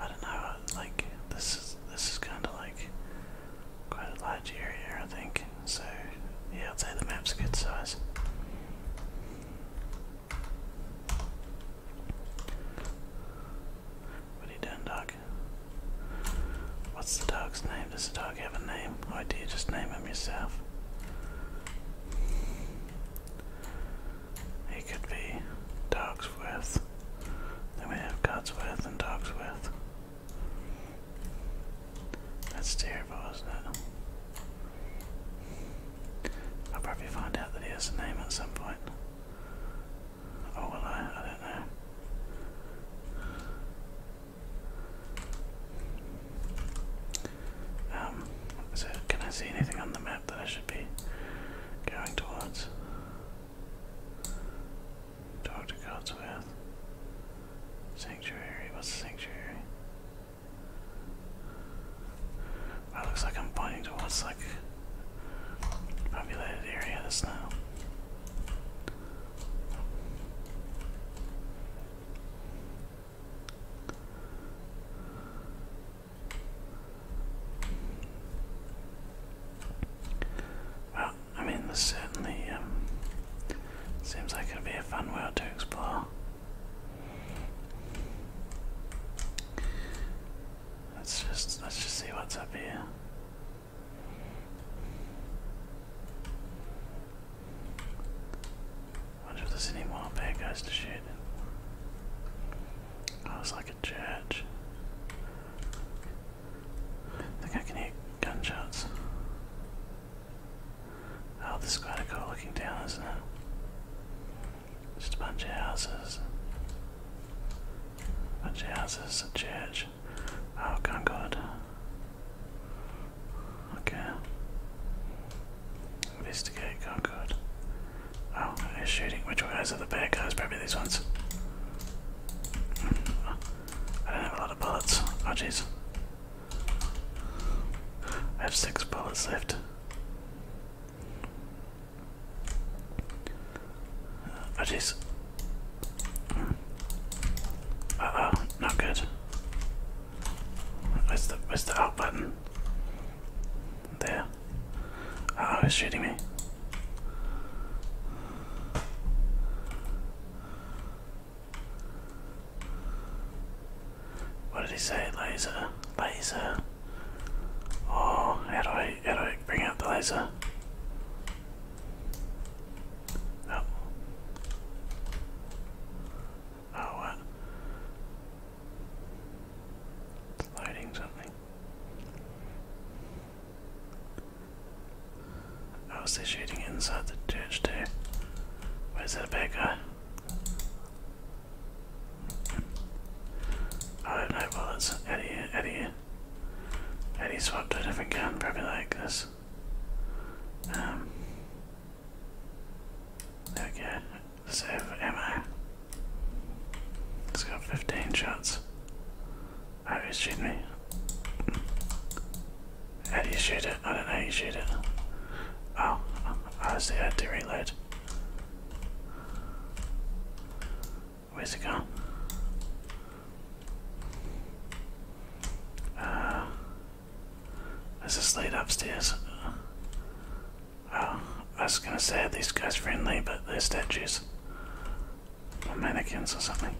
I don't know. Like, this is this is kind of like quite a large area, I think. So, yeah, I'd say the map's a good size. What are you doing, dog? What's the dog's name? Does the dog have a name? Or do you just name him yourself? He could be Dogsworth. Then we have Godsworth and Dogsworth. That's terrible, isn't it? I'll probably find out that he name at some point. Oh, will I don't know. Um, so can I see anything on the map that I should be going towards? Talk to Godswith. Sanctuary, what's sanctuary? Well, looks like I'm pointing towards like populated area this now. Well, I mean, this certainly um, seems like it'd be a fun world to explore. Let's just let's just see what's up here. Wonder if there's any more to shoot. Oh, it's like a church think I can hear gunshots. Oh, this is quite a cool looking town, isn't it? Just a bunch of houses. A bunch of houses, a church. Oh, Concord. Okay. Investigate Concord. Oh, they're shooting. Which way is it? The bad guys? Probably these ones. I don't have a lot of bullets. Oh jeez. I have six bullets left. Oh jeez. Uh oh, not good. Where's the where's the out button? There. oh, he's shooting me. What did he say? Laser, laser. Oh, how do I how do I bring out the laser? Oh. Oh loading something. I was shooting inside the church too? Where's that bad guy? I don't know bullets. Out of here, out of here. Eddie swapped a different gun, probably like this. Okay. Um, there we go. Let's have It's got 15 shots. How do you shoot me? How do you shoot it? I don't know how you shoot it. Oh, I see, I had to reload. Where's it gone? Uh, there's a lead upstairs. Oh, I was gonna say, are these guys friendly, but they're statues mannequins or something.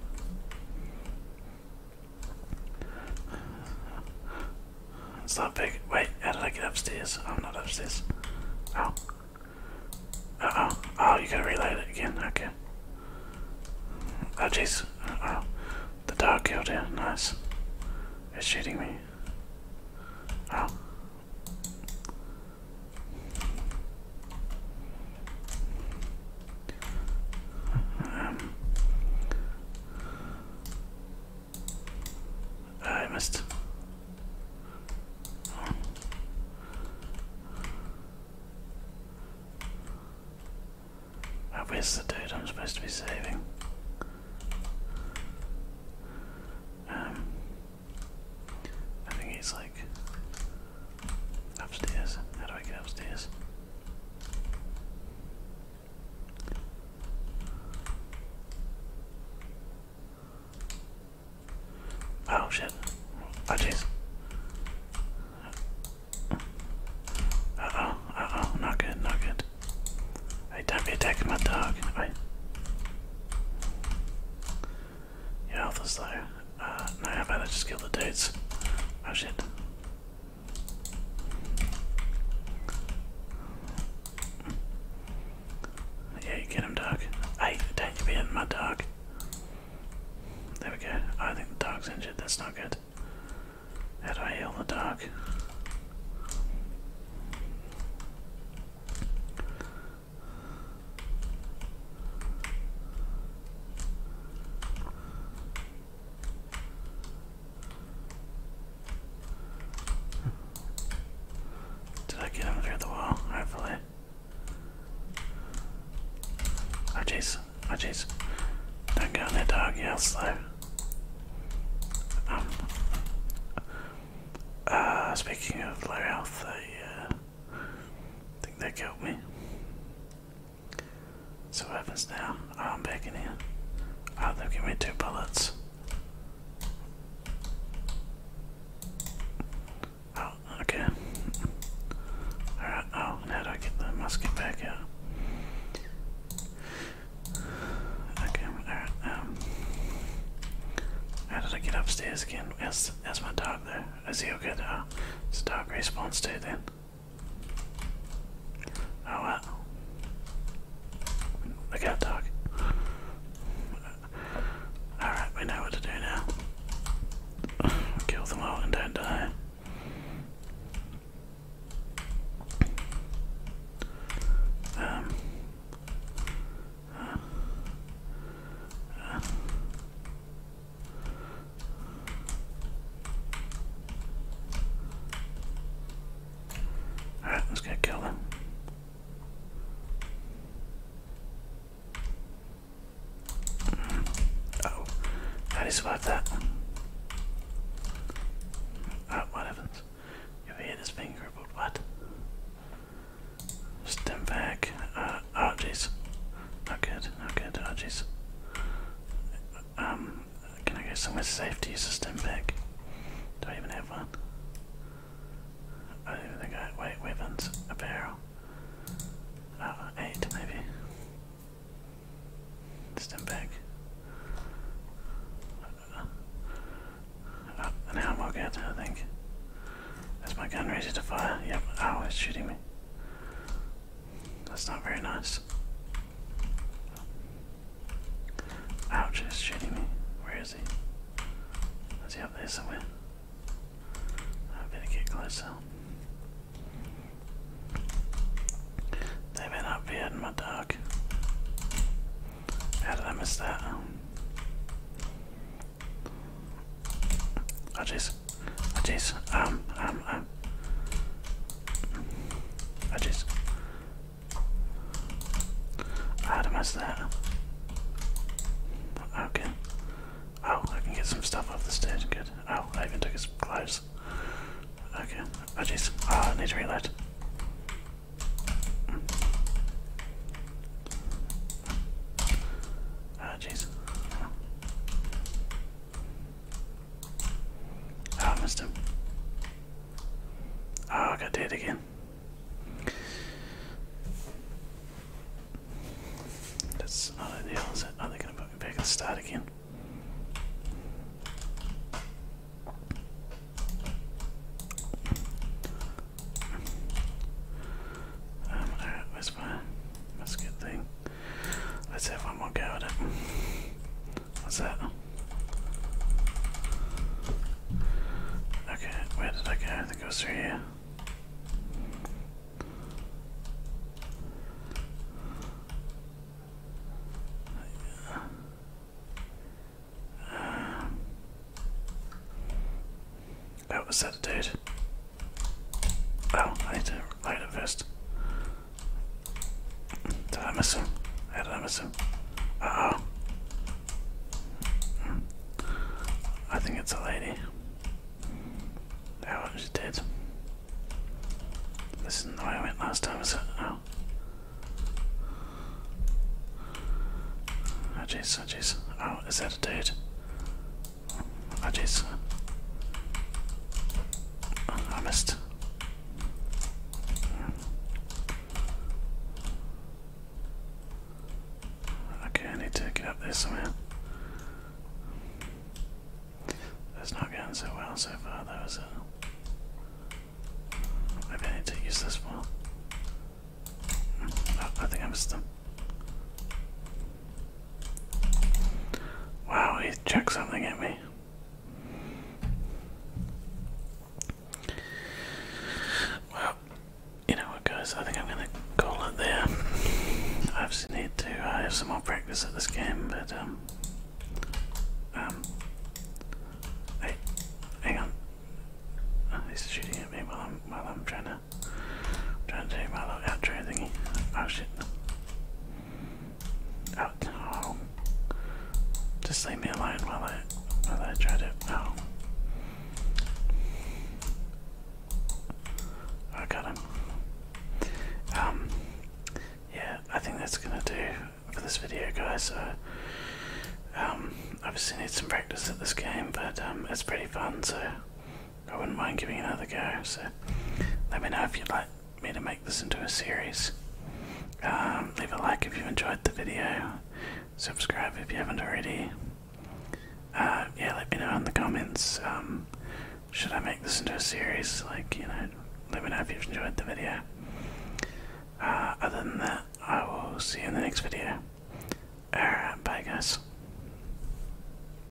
It's that big. Wait, how did I get upstairs? I'm not upstairs. Oh. oh. Oh, you gotta reload it again. Okay. Oh, jeez. Oh. The dog killed it. Nice. It's shooting me. Oh. Um, I missed. Oh. Oh, the dude I'm supposed to be saving? Um, I think he's like Upstairs? How do I get upstairs? Oh shit. I just. Uh oh, uh oh, not good, not good. Hey, don't be attacking my dog. Wait. Your health is low. Uh, no, how about just kill the dudes? Oh shit. Yeah, you get him, dog. Hey, don't you be hitting my dog. There we go. I think the dog's injured. That's not good. How do I heal the dog? Did I get him through the wall? Hopefully. Oh jeez. Oh jeez. Don't go in there, dog. Yeah, slow. Um. Uh, speaking of low health, uh, I think they killed me. So what happens now? Oh, I'm back in here. Oh, they've given me two bullets. Oh, okay. Alright, oh, now do I get the musket back out? Okay, alright, um... How did I get upstairs again? Where's, where's my dog there. Let's see how good uh, Stark responds to then. Oh wow. Look out, dog. Alright, we know what to do now. Kill them all and don't die. Um, uh, uh, Alright, let's get kill them. Mm. Oh, how do you survive that? Oh, what happens? Your head is being crippled, what? Stem back. Uh, Oh jeez. Not good, not good, oh jeez. Um, can I go somewhere safe to use a stem pick? Do I even have one? I don't even think I wait, weapons, apparel. Oh, eight maybe. Stem pick. Oh, now i I think. Is my gun ready to fire? Yep. Oh, it's shooting me. That's not very nice. Ouch, he's shooting me. Where is he? Is he up there somewhere? I better get closer. They better not be out in my dog. How did I miss that? Oh Oh jeez. Um, um, um. jeez. I had to mess that. Okay. Oh, I can get some stuff off the stairs. Good. Oh, I even took some clothes. Okay. jeez. Oh, I need to reload. Oh jeez. Oh, I missed him. Oh, I got dead again. That's not ideal, is it? Are oh, they going to put me back and start again? Um, alright, where's my musket thing? Let's have one more go at it. What's that? Okay, where did I go? I think it was through here. Um, oh, was that Oh, I need to light it first. Did I miss him? How did Uh oh. I think it's a lady. Oh, she's dead. This isn't the way I went last time, is it? Oh. Oh jeez, oh jeez. Oh, is that a dude? Oh uh, jeez. I missed. Okay, I need to get up there somehow. It's not going so well so far though, is I need to use this one. I think I missed him. Wow, he's chucking something at me. Well, you know what, guys? I think I'm going to call it there. I just need to uh, have some more practice at this game, but um, um, hey, hang on. Oh, he's shooting at me while I'm while I'm trying to i trying to do my little outro thingy. Oh shit. Oh, oh. Just leave me alone while I while I try to oh. oh I got him. Um yeah, I think that's gonna do for this video guys, so uh, um obviously need some practice at this game but um it's pretty fun so I wouldn't mind giving another go. So let me know if you'd like me to make this into a series. Um, leave a like if you enjoyed the video. Subscribe if you haven't already. Uh, yeah, let me know in the comments. Um, should I make this into a series? Like, you know, let me know if you've enjoyed the video. Uh, other than that, I will see you in the next video. Alright, bye guys.